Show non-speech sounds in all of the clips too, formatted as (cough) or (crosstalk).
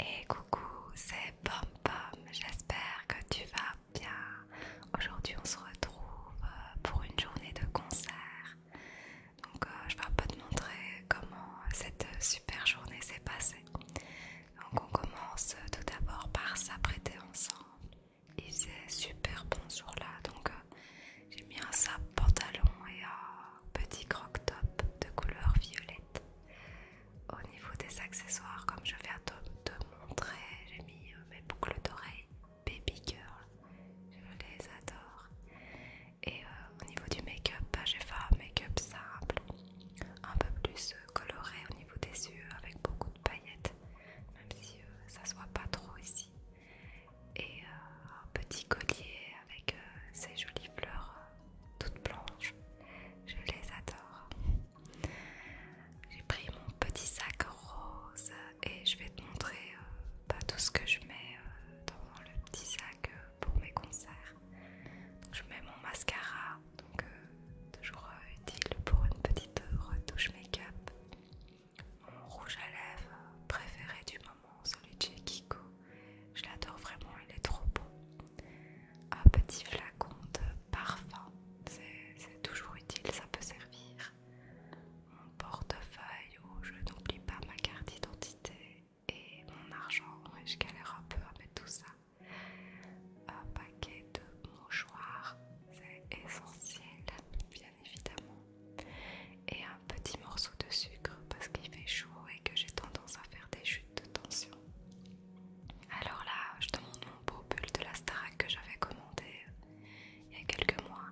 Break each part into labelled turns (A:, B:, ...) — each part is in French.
A: Et coucou, c'est Pom Pom, j'espère que tu vas bien. Aujourd'hui on se retrouve euh, pour une journée de concert. Donc euh, je vais un peu te montrer comment euh, cette super journée s'est passée. Donc on commence tout d'abord par s'apprêter ensemble. Il faisait super bon ce jour-là, donc j'ai mis un sap pantalon et un petit croc-top de couleur violette. Au niveau des accessoires, comme je viens de te montrer, j'ai mis euh, mes boucles d'oreilles Baby Girl. Je les adore. Et euh, au niveau du make-up, bah, j'ai fait un make-up simple, un peu plus euh, coloré au niveau des yeux, avec beaucoup de paillettes, même si ça se voit pas trop ici. Et un petit collier avec ces jolies fleurs toutes blanches. Je les adore. J'ai pris mon petit sac rose et je vais te montrer euh, bah, tout ce que je mets euh, dans le petit sac euh, pour mes concerts. je mets mon mascara, donc toujours utile pour une petite retouche make-up. Mon rouge à lèvres préféré du moment, celui de chez Kiko. Je l'adore vraiment, il est trop beau. Un petit flacon de parfum, c'est toujours utile, ça peut servir. Mon portefeuille où je n'oublie pas ma carte d'identité et mon argent, je galère un peu avec tout ça. Un paquet de mouchoirs, c'est essentiel, bien évidemment. Et un petit morceau de sucre parce qu'il fait chaud et que j'ai tendance à faire des chutes de tension. Alors là, je te montre mon beau pull de la Starac que j'avais commandé euh, il y a quelques mois.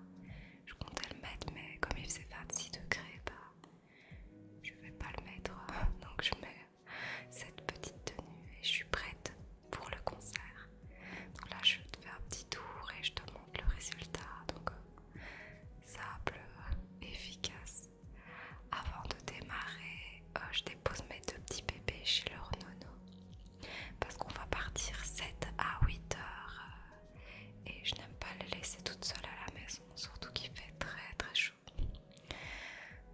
A: Je comptais le mettre, mais comme il faisait 26 degrés, je bah, je vais pas le mettre. (laughs) Donc je mets cette petite tenue et je suis prête pour le concert. Donc là, je te fais un petit tour et je te montre le résultat. Donc, euh, simple, efficace. Avant de démarrer, euh, je dépose mes deux petits bébés chez leur nono parce qu'on va partir 7 à 8 heures euh, et je n'aime pas les laisser toute seule à la maison, surtout qu'il fait très très chaud.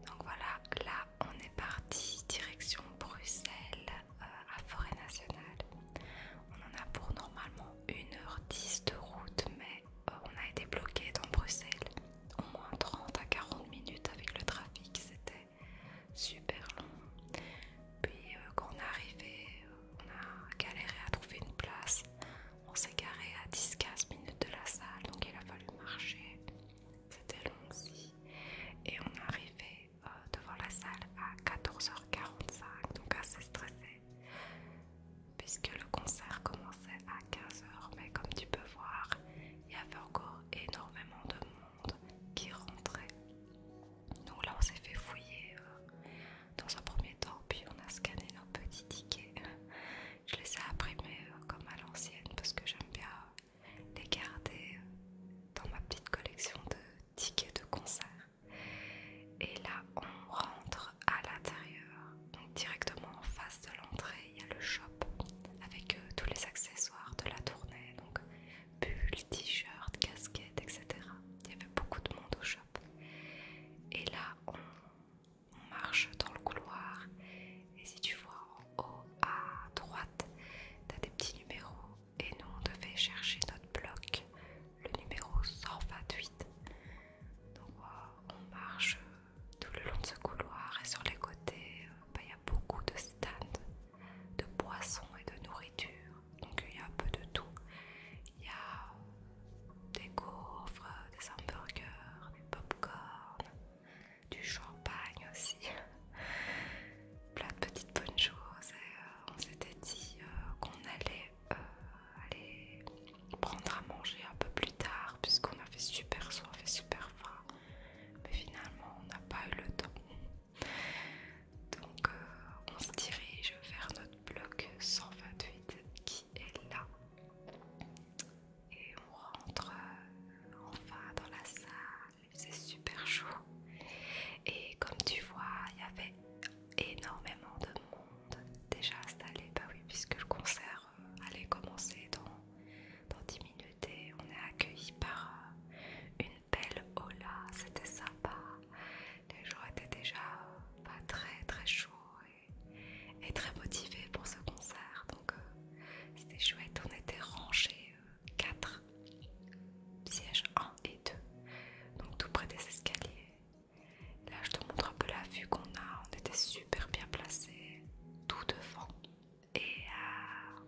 A: Donc voilà, là on est parti direction Bruxelles euh, à Forêt Nationale. On en a pour normalement 1h10 de route, mais euh, on a été bloqué dans Bruxelles au moins 30 à 40 minutes avec le trafic, c'était super long. Puis euh, quand on est arrivé, euh, on a galéré à trouver une place. On s'est garé à 10-15 minutes de la salle, donc il a fallu marcher. C'était long aussi. Et on est arrivé devant la salle à 14h45, donc assez stressé puisque le concert commençait à 15h, mais comme tu peux voir, il y avait encore énormément de monde qui rentrait. Donc là, on s'est fait fouiller euh, dans un premier temps, puis on a scanné nos petits tickets. Je les ai imprimés euh, comme à l'ancienne parce que j'aime bien les garder euh, dans ma petite collection de tickets de concert. Et là, on rentre à l'intérieur directement en face de l'entrée, il y a le shop avec euh, tous les accessoires de la tournée, donc bulles, t-shirts, casquettes, etc. Il y avait beaucoup de monde au shop. Et là, on marche dans le couloir et si tu vois en haut à droite, t'as des petits numéros et nous on devait chercher notre bloc, le numéro 128. Donc euh, on marche tout le long de ce couloir et sur les côtés, euh, bah, il y a beaucoup de stands de boissons et de nourriture. Donc il y a un peu de tout. Il y a des gaufres, des hamburgers, des pop-corn, du champagne aussi. (laughs) Plein de petites bonnes choses. Euh, on s'était dit euh, qu'on allait aller prendre à manger un peu plus tard puisqu'on a fait super soif et super froid mais finalement on n'a pas eu le temps donc euh, on se dirige vers notre bloc 128 qui est là et on rentre euh, enfin dans la salle c'est super chaud et comme tu vois il y avait énormément de monde déjà installé bah oui puisque le concert euh, aller commencer dans, dans 10 minutes et on est accueilli par euh, une belle hola, c'était sympa. Les jours étaient déjà euh, pas très très chaud et, très motivés pour ce concert, donc c'était chouette. On était rangés 4 sièges 1 et 2, donc tout près des escaliers. Là, je te montre un peu la vue qu'on a. On était super bien placé tout devant et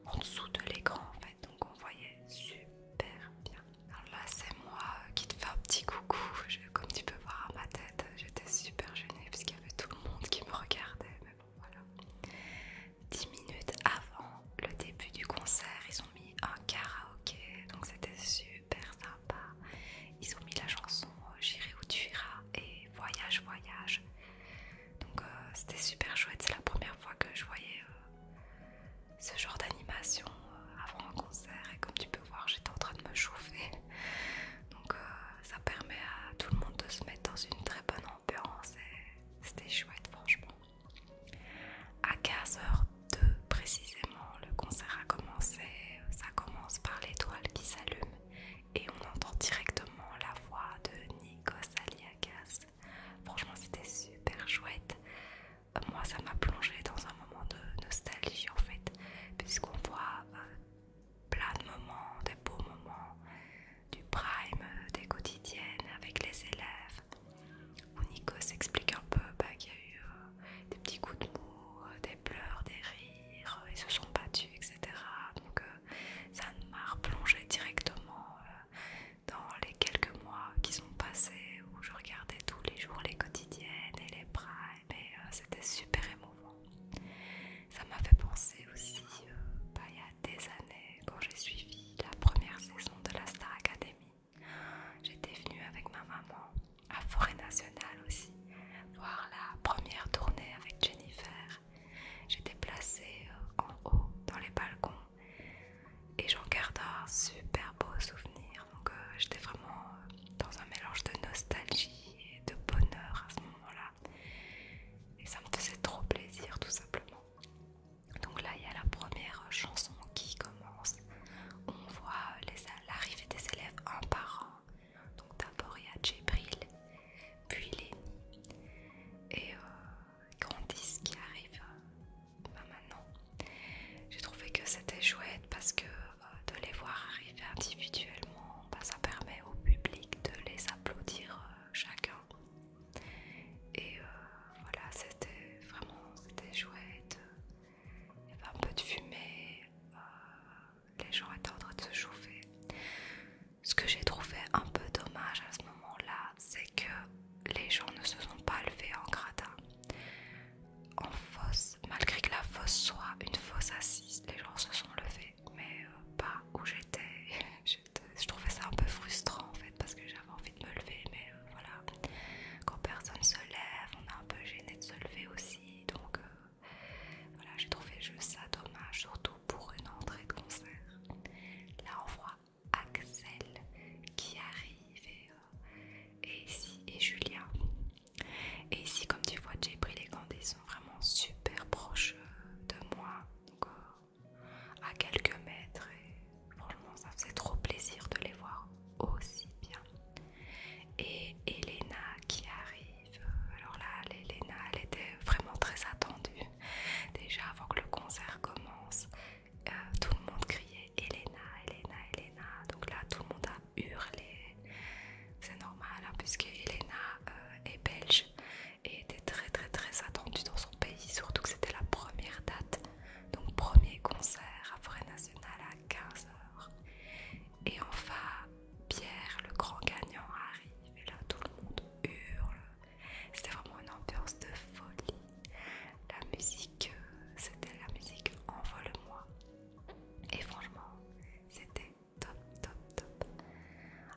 A: en dessous de l'écran en fait donc on voyait super bien alors là c'est moi qui te fais un petit coucou comme tu peux voir à ma tête j'étais super gênée qu'il y avait tout le monde qui me regardait mais bon voilà 10 minutes avant le début du concert ils ont mis un karaoké donc c'était super sympa ils ont mis la chanson J'irai où tu iras et Voyage Voyage donc euh, c'était super chouette, c'est la première fois que je voyais euh, ce genre d'animation euh, avant un concert et comme tu peux voir j'étais en train de me chauffer. Donc ça permet à tout le monde de se mettre dans une très bonne ambiance et c'était chouette franchement. À 15h02 précisément le concert a commencé, ça commence par l'étoile qui s'allume et on entend directement la voix de Nikos Aliagas. Franchement, c'était super chouette. Moi, ça m'a plongé dans un moment de nostalgie en fait, puisqu'on voit euh, plein de moments, des beaux moments du prime, euh, des quotidiennes avec les élèves, où Nikos explique un peu bah, qu'il y a eu euh, des petits coups de mou, des pleurs, des rires, ils se sont battus, etc. Euh, ça m'a replongé directement euh, dans les quelques mois qui sont passés où je regardais tous les jours les quotidiennes et les primes et euh, c'était super émouvant. Ça m'a fait penser aussi, bah, il y a des années, quand j'ai suivi la première saison de la Star Academy, j'étais venue avec ma maman à Forêt Nationale aussi, voir la première tournée avec Jennifer J'étais placée euh, en haut dans les balcons et j'en gardais un super beau souvenir. Donc euh, j'étais vraiment euh, dans un mélange de nostalgie et de bonheur à ce moment-là. Et ça me faisait trop plaisir tout simplement. Donc là il y a la première chanson qui commence. On voit l'arrivée des élèves un par un donc d'abord il y a Djibril, puis Lenny, et euh, ce qui arrive euh, ben maintenant. J'ai trouvé que c'était chouette parce que euh, de les voir arriver individuellement, ben, ça permet au public de les applaudir euh, chacun. Et voilà, c'était vraiment chouette. Il y avait un peu de fumée, les gens étaient en train de se chauffer. Ce que j'ai trouvé un peu dommage à ce moment-là, c'est que les gens ne se sont pas levés en grata En fosse, malgré que la fosse soit une fosse assise, les gens se sont levés, mais euh, pas où (laughs) j'étais. Je trouvais ça un peu frustrant en fait, parce que j'avais envie de me lever, mais euh, voilà. Quand personne se lève, on est un peu gêné de se lever aussi, donc euh, voilà, j'ai trouvé juste ça dommage, surtout pour une entrée de concert. Là, on voit Axel qui arrive et, euh, ici Julia. Et ici, comme tu vois, j'ai pris les sont vraiment super proches euh, de moi, encore à quelques mètres. Et franchement, ça faisait trop plaisir de les voir aussi bien. Et Elena qui arrive alors là, Elena, elle était vraiment très attendue. Déjà avant que le concert commence, euh, tout le monde criait Elena, Elena, Elena. Donc là, tout le monde a hurlé. C'est normal, hein, puisque Elena euh, est belge et était très très très attendue dans son pays, surtout que c'était la première date. Donc premier concert à Forêt Nationale à 15h. Et enfin, Pierre, le grand gagnant, arrive et là tout le monde hurle. C'était vraiment une ambiance de folie. La musique, euh, c'était la musique Envole-moi. Et franchement, c'était top, top, top.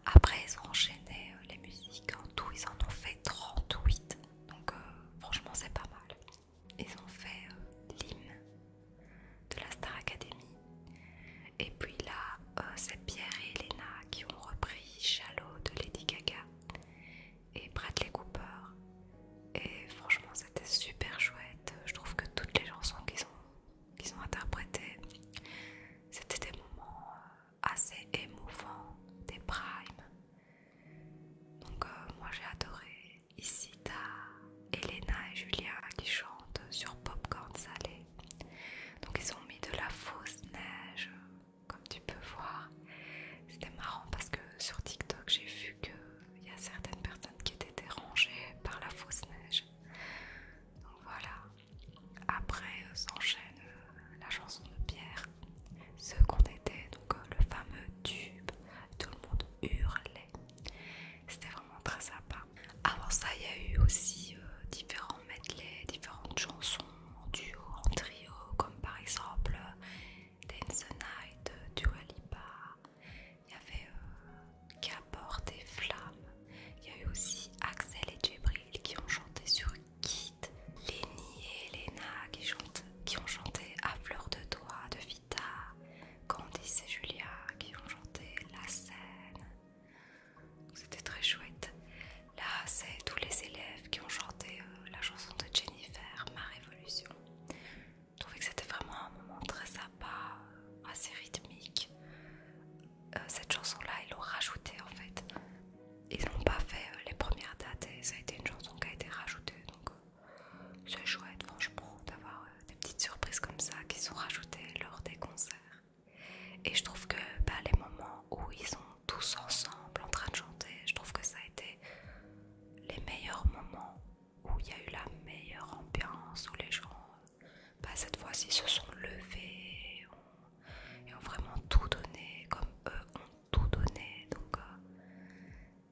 A: Après, ils ont enchaîné euh, les musiques. En hein, tout, ils en ont fait 38. Donc, euh, franchement, c'est pas mal. Ils ont fait l'hymne de la Star Academy. Et puis là, euh, c'est Pierre et Elena qui ont repris Shallow de Lady Gaga et Bradley Cooper. Et franchement, c'était super chouette. Je trouve que toutes les chansons qu'ils ont, interprétées, c'était des moments euh, assez émouvants, des primes. Donc, euh, moi j'ai adoré. Ici, t'as Elena et Julia qui chantent sur Popcorn Salé. Donc ils ont mis de la fausse neige, comme tu peux voir. C'était marrant parce que sur TikTok j'ai vu qu'il y a certaines personnes qui étaient dérangées par la fausse neige. Donc voilà. Après euh, s'enchaîne euh, la chanson de Pierre, ce qu'on était, donc euh, le fameux tube, tout le monde hurlait. C'était vraiment très sympa. Avant ça, il y a eu aussi euh, différents medley, différentes chansons en duo, en trio, comme par exemple euh, Dance the Night, euh, Dua Il y avait qui des flammes. Il y a eu aussi Axel et Djibril qui ont chanté sur Kit, Lenny et Elena qui, ont chanté à fleur de doigt de Vita, Candice et Julia qui ont chanté La scène, c'était très chouette. Là, c'est tous les élèves qui ont chanté euh, la chanson de Jennifer, Ma Révolution. Je trouvais que c'était vraiment un moment très sympa, euh, assez rythmique. Euh, cette chanson-là, ils l'ont rajoutée en fait. Ils n'ont pas fait les premières dates et ça a été une chanson qui a été rajoutée. Donc, c'est chouette, franchement, d'avoir des petites surprises comme ça qui sont rajoutées lors des concerts. Et je trouve que bah, les moments où ils sont tous ensemble en train de chanter, je trouve que ça a été les meilleurs moments où il y a eu la meilleure ambiance, où les gens, bah, cette fois-ci, se sont levés et ont, vraiment tout donné, comme eux ont tout donné. Donc, euh,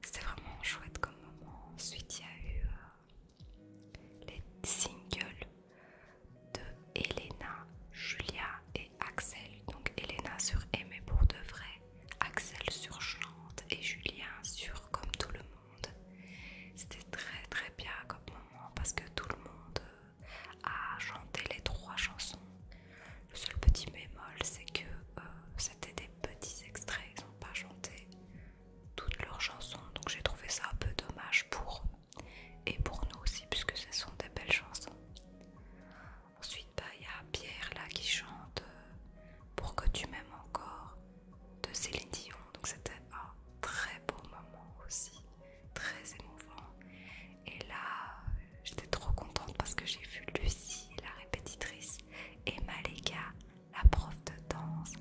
A: c'était vraiment chouette comme moment. Ensuite, il y a eu euh, les singles de Elena, Julia et Axel. Donc Elena sur Aimer pour de vrai, Axel sur Chante et Julien sur Comme tout le monde. C'était très très bien comme moment parce que tout le monde euh, a chanté les trois chansons. Le seul petit bémol, c'est que euh, c'était des petits extraits, ils n'ont pas chanté toutes leurs chansons, donc j'ai trouvé ça un peu dommage pour et pour nous aussi, puisque ce sont des belles chansons. Ensuite, bah, il y a Pierre là qui chante euh, Pour que tu m'aimes encore de Céline Dion. Donc c'était un très beau moment aussi, très émouvant. Et là, euh, j'étais trop contente parce que j'ai vu Lucie, la répétitrice, et Malika, la prof de danse.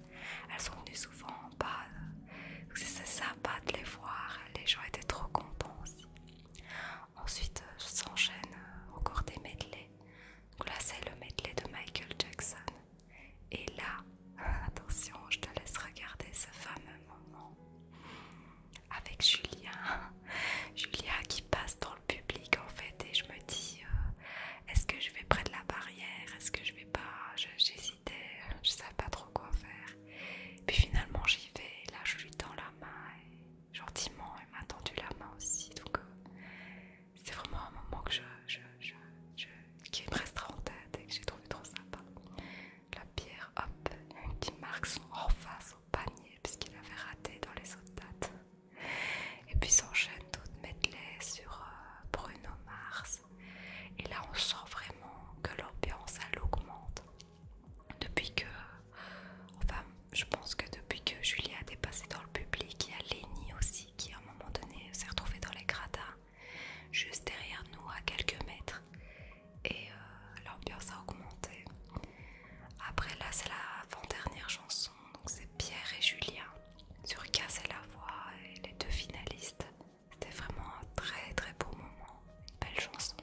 A: Elles sont venues souvent pas. C'est sympa de les voir, les gens étaient trop contents aussi. Ensuite, euh, s'enchaîne encore euh, des medley. Donc là, c'est le medley de Michael Jackson. Et là, (laughs) attention, je te laisse regarder ce fameux moment avec Julien. (laughs) Julia qui passe dans le public en fait, et je me dis euh, est-ce que je vais près de la barrière Est-ce que je vais pas J'hésite je savais pas trop quoi faire. Puis finalement j'y vais, là je lui tends la main et gentiment elle m'a tendu la main aussi. Donc euh, c'est vraiment un moment que je, qui me restera en tête et que j'ai trouvé trop sympa. La pierre, hop, qui marque son en face au panier puisqu'il avait raté dans les autres dates. Et puis s'enchaînent d'autres medley sur euh, Bruno Mars, et là, on sent vraiment que l'ambiance, elle augmente. Depuis que... Enfin, je pense que depuis que Julia a dépassé dans le public, il y a Lenny aussi qui, à un moment donné, s'est retrouvée dans les gradins, juste derrière nous, à quelques mètres. Et euh, l'ambiance a augmenté. Après, là, c'est la avant dernière chanson. Donc, c'est Pierre et Julien sur Cassez la voix et les deux finalistes. C'était vraiment un très très beau moment, une belle chanson.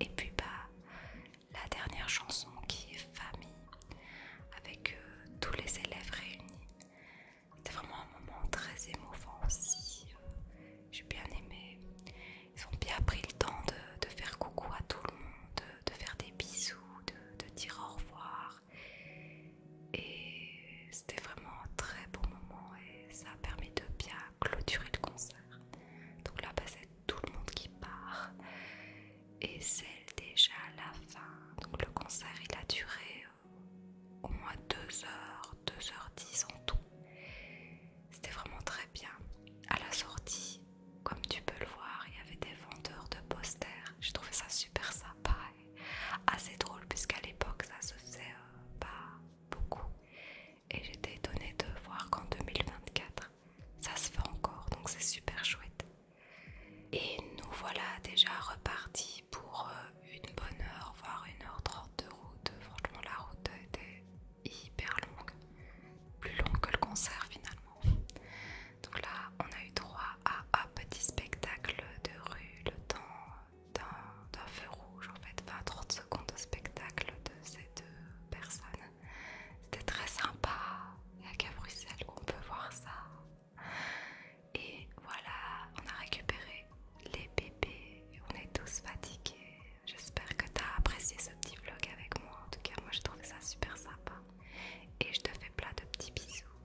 A: Et puis bah la dernière chanson qui est famille, avec euh, tous les élèves réunis. C'était vraiment un moment très émouvant aussi. Euh, j'ai bien aimé. Ils ont bien pris le temps de, faire coucou à tout le monde, de, faire des bisous, de, dire au revoir. Et c'était vraiment un très beau moment ça permet de bien clôturer le concert. Donc là, bah, c'est tout le monde qui part. Et c'est déjà la fin. Donc le concert, il a duré euh, au moins 2 heures, 2h10 en tout. C'était vraiment très bien. À la sortie, comme tu peux le voir, il y avait des vendeurs de posters. J'ai trouvé ça super sympa et assez drôle puisqu'à l'époque, ça se faisait pas. Euh, bah, beaucoup. Et j'étais étonnée de voir qu'en 2024, ça se fait encore, donc c'est super chouette. Et nous voilà déjà repartis pour euh, une bonne heure, voire une heure trente de route. Franchement, la route était hyper longue, plus longue que le concert finalement. Donc là, on a eu droit à un petit spectacle de rue, le temps d'un feu rouge en fait, 20-30 secondes de spectacle de ces deux personnes. C'était très sympa, il n'y a qu'à Bruxelles on peut voir ça. Et voilà, on a récupéré les bébés, on est tous fatigués. J'espère que tu as apprécié ce petit vlog avec moi. En tout cas, moi j'ai trouvé ça super sympa. Et je te fais plein de petits bisous.